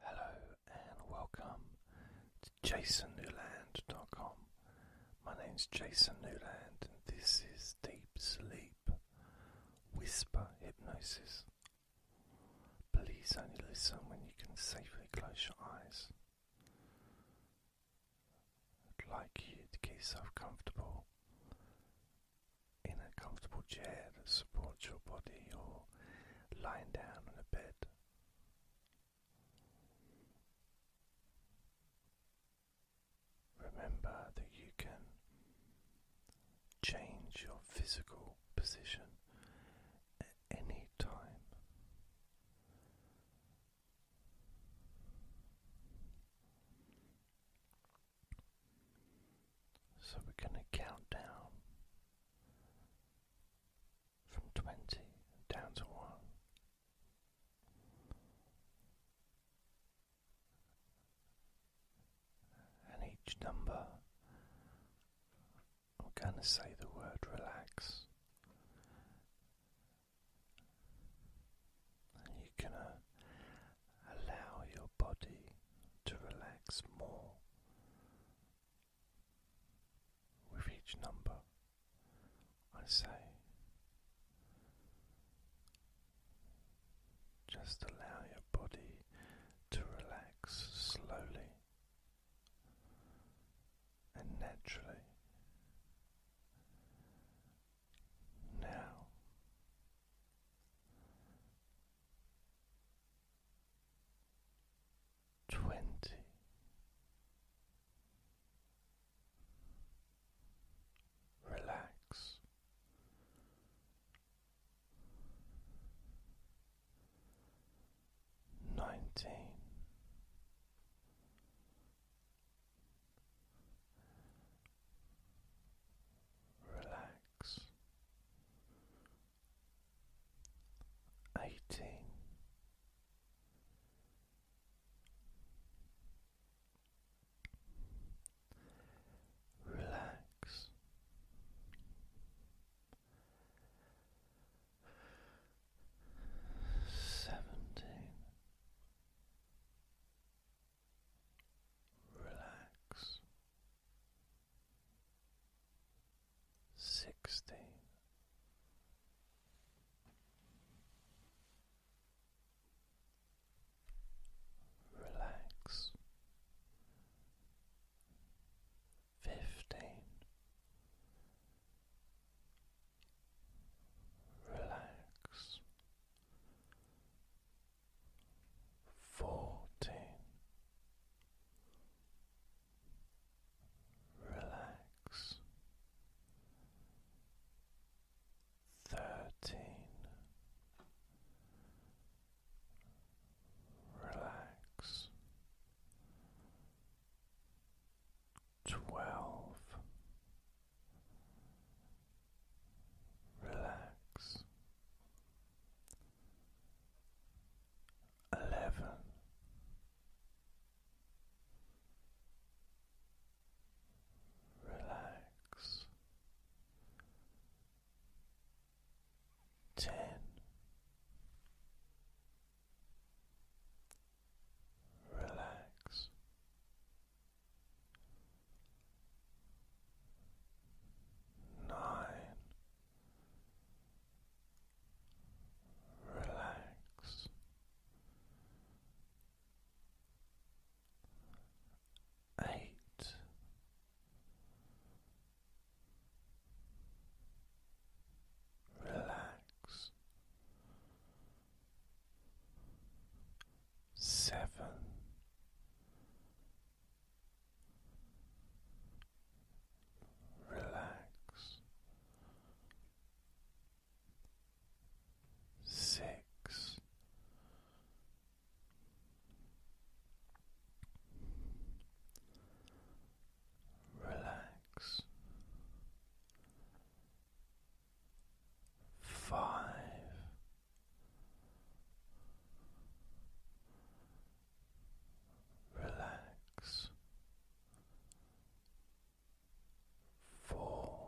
Hello and welcome to jasonnewland.com. My name's Jason Newland and this is Deep Sleep Whisper Hypnosis. Please only listen when you can safely close your eyes. I'd like you to get yourself comfortable in a comfortable chair that supports your body or lying down on a bed. Remember that you can change your physical position at any time. So we're going to count down from 20 down to 1. And each number, I'm going to say the word relax. And you're going to allow your body to relax more with each number I say, just allow your body to relax slowly and naturally. Now twenty. Relax. Nineteen. Relax eighteen. Relax. Seventeen. Relax sixteen. Relax. Fifteen. Relax fourteen relax thirteen relax twelve relax eleven. Relax ten relax nine relax. Eight. Relax. Seven relax six. Relax five relax four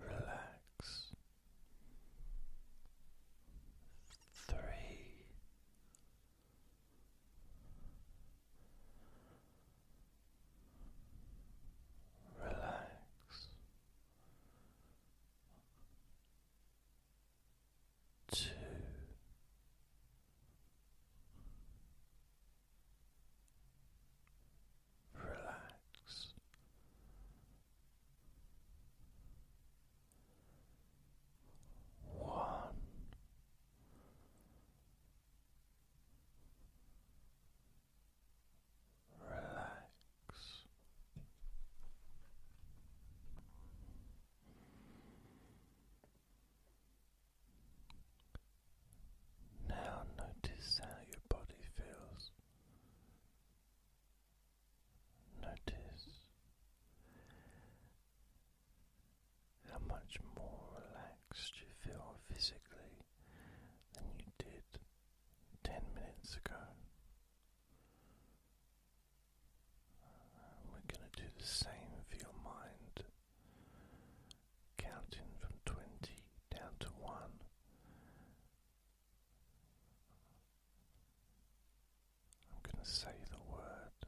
relax three relax two relax one relax. Now notice how your body feels. Notice how much more relaxed you feel physically than you did ten minutes ago. we're going to do the same for your mind, counting from 20 down to 1. I'm going to say the word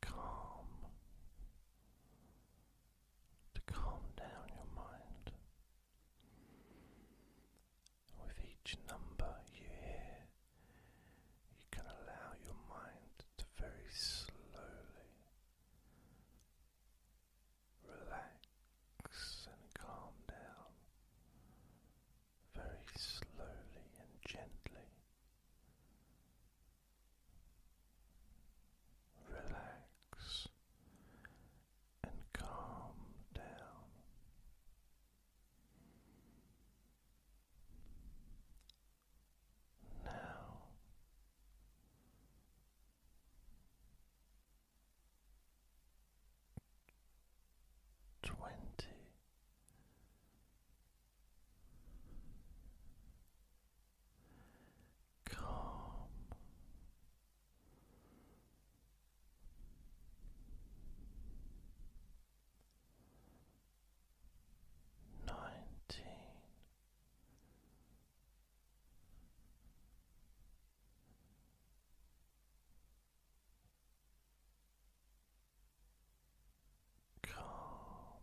calm, to calm down your mind. With each number you hear, you can allow your mind to very slowly relax and calm down very slowly and gently relax and calm down. Now twenty calm. Nineteen. Calm.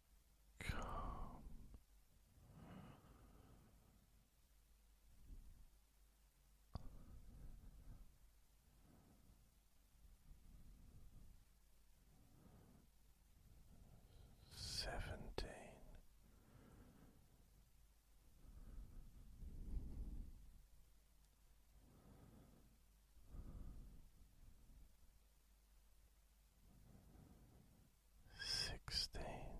Come Seventeen sixteen.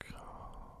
Calm.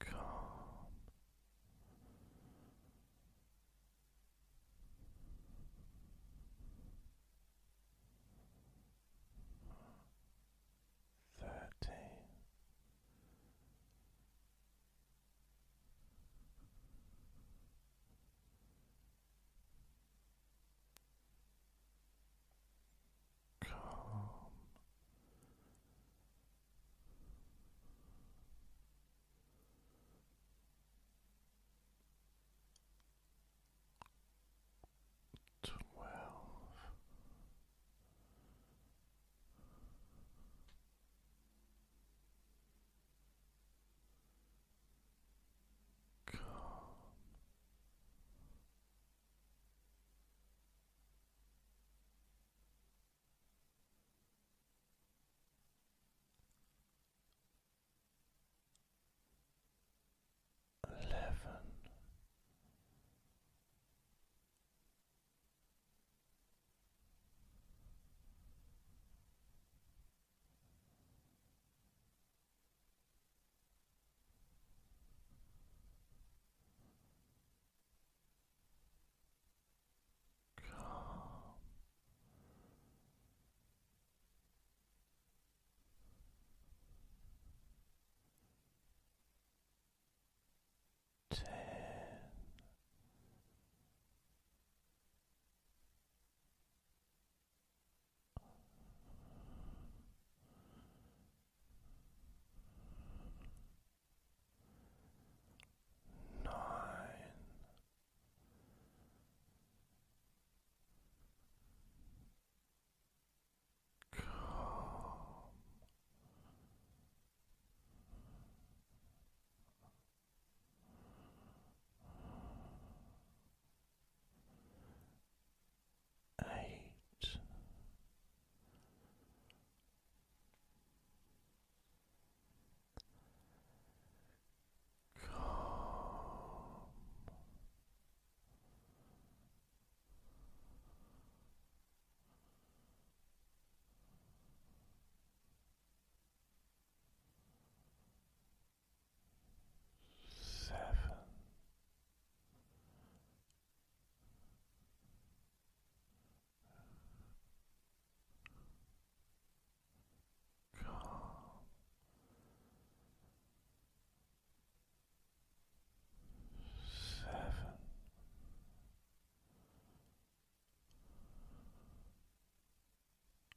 Calm. Thirteen. Calm. Twelve calm. Eleven. Calm. Ten. Nine. Calm eight. Calm seven. Calm. Seven.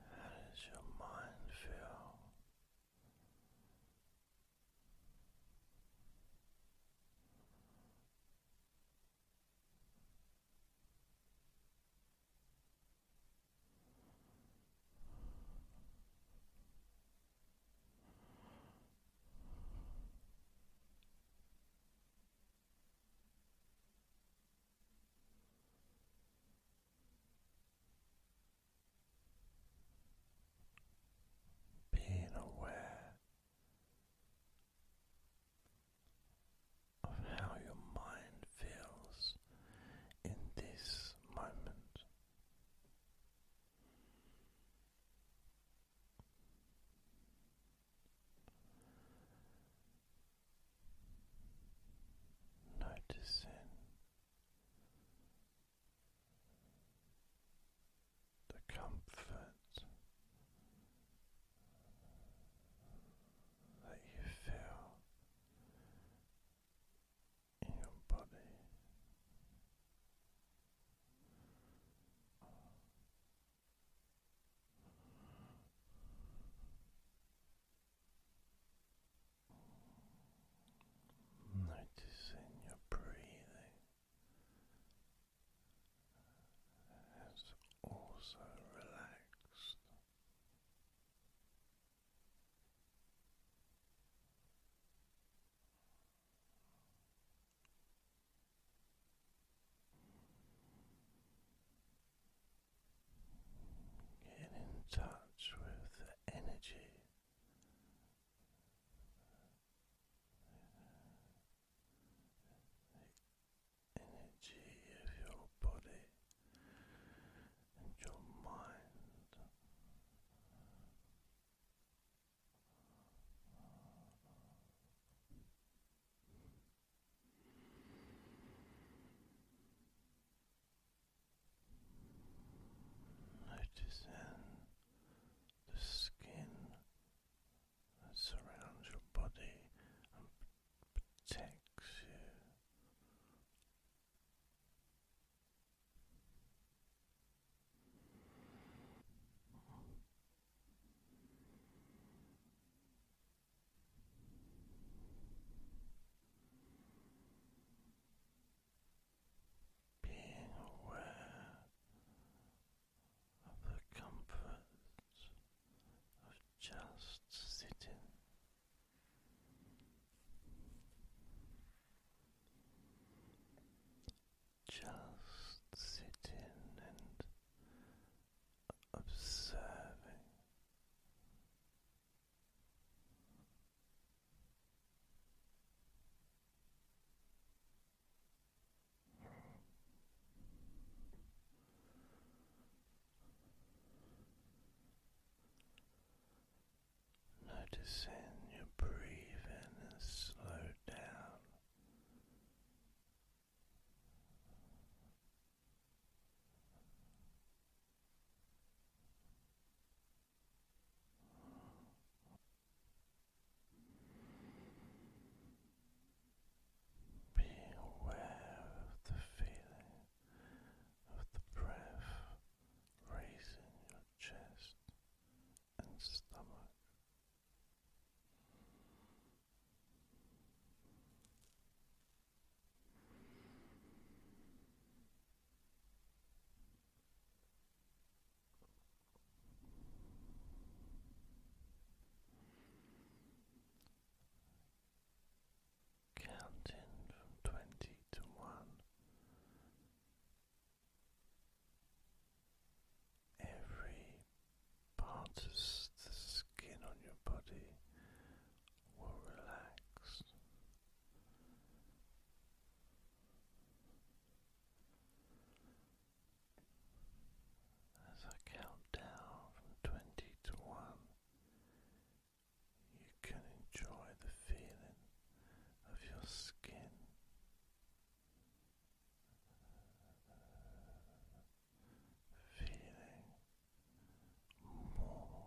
How does your mind feel? Being aware of how your mind feels in this moment noticing the comfort that you feel in your body. Noticing your breathing has also relaxed. Get in touch with the energy energy of your body and your mind Noticing the skin that surrounds your body and protects you. Being aware of the comfort of just sitting. Just sitting and observing Noticing your breathing and slow down. Be aware of the feeling of the breath raising your chest and stomach. Counting from twenty to one every part of the skin on your body will relax. As I count down from 20 to 1, you can enjoy the feeling of your skin. Feeling more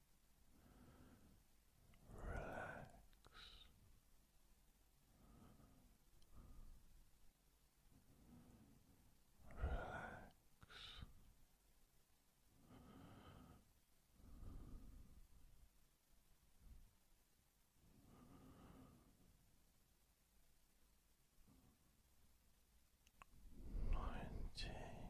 relax. Relax. Nineteen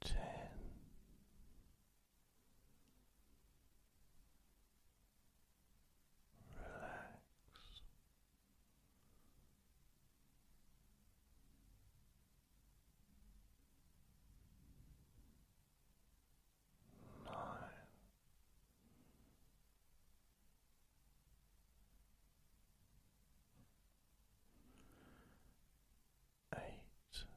ten relax nine eight, relax. Seven,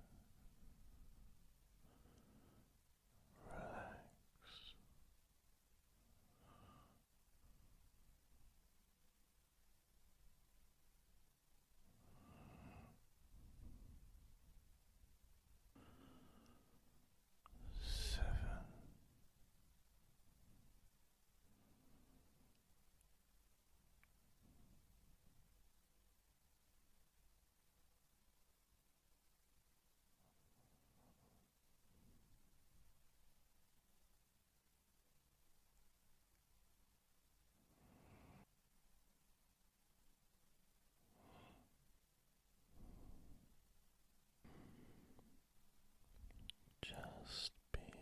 just being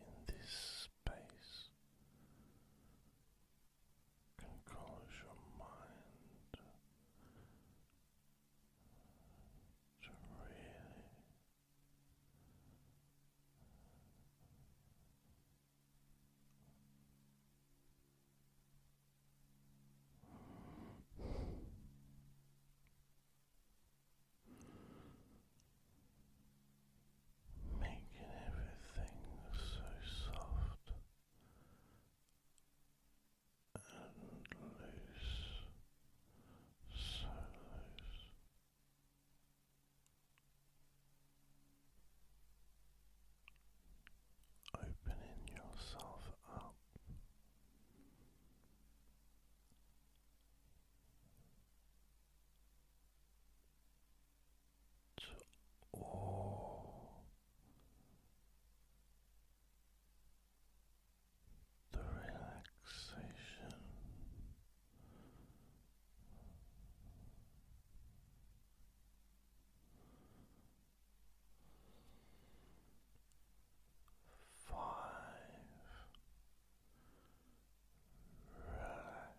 in this space and cause your mind to really making everything so soft and loose, so loose. Opening yourself up to all the relaxation. Five relaxed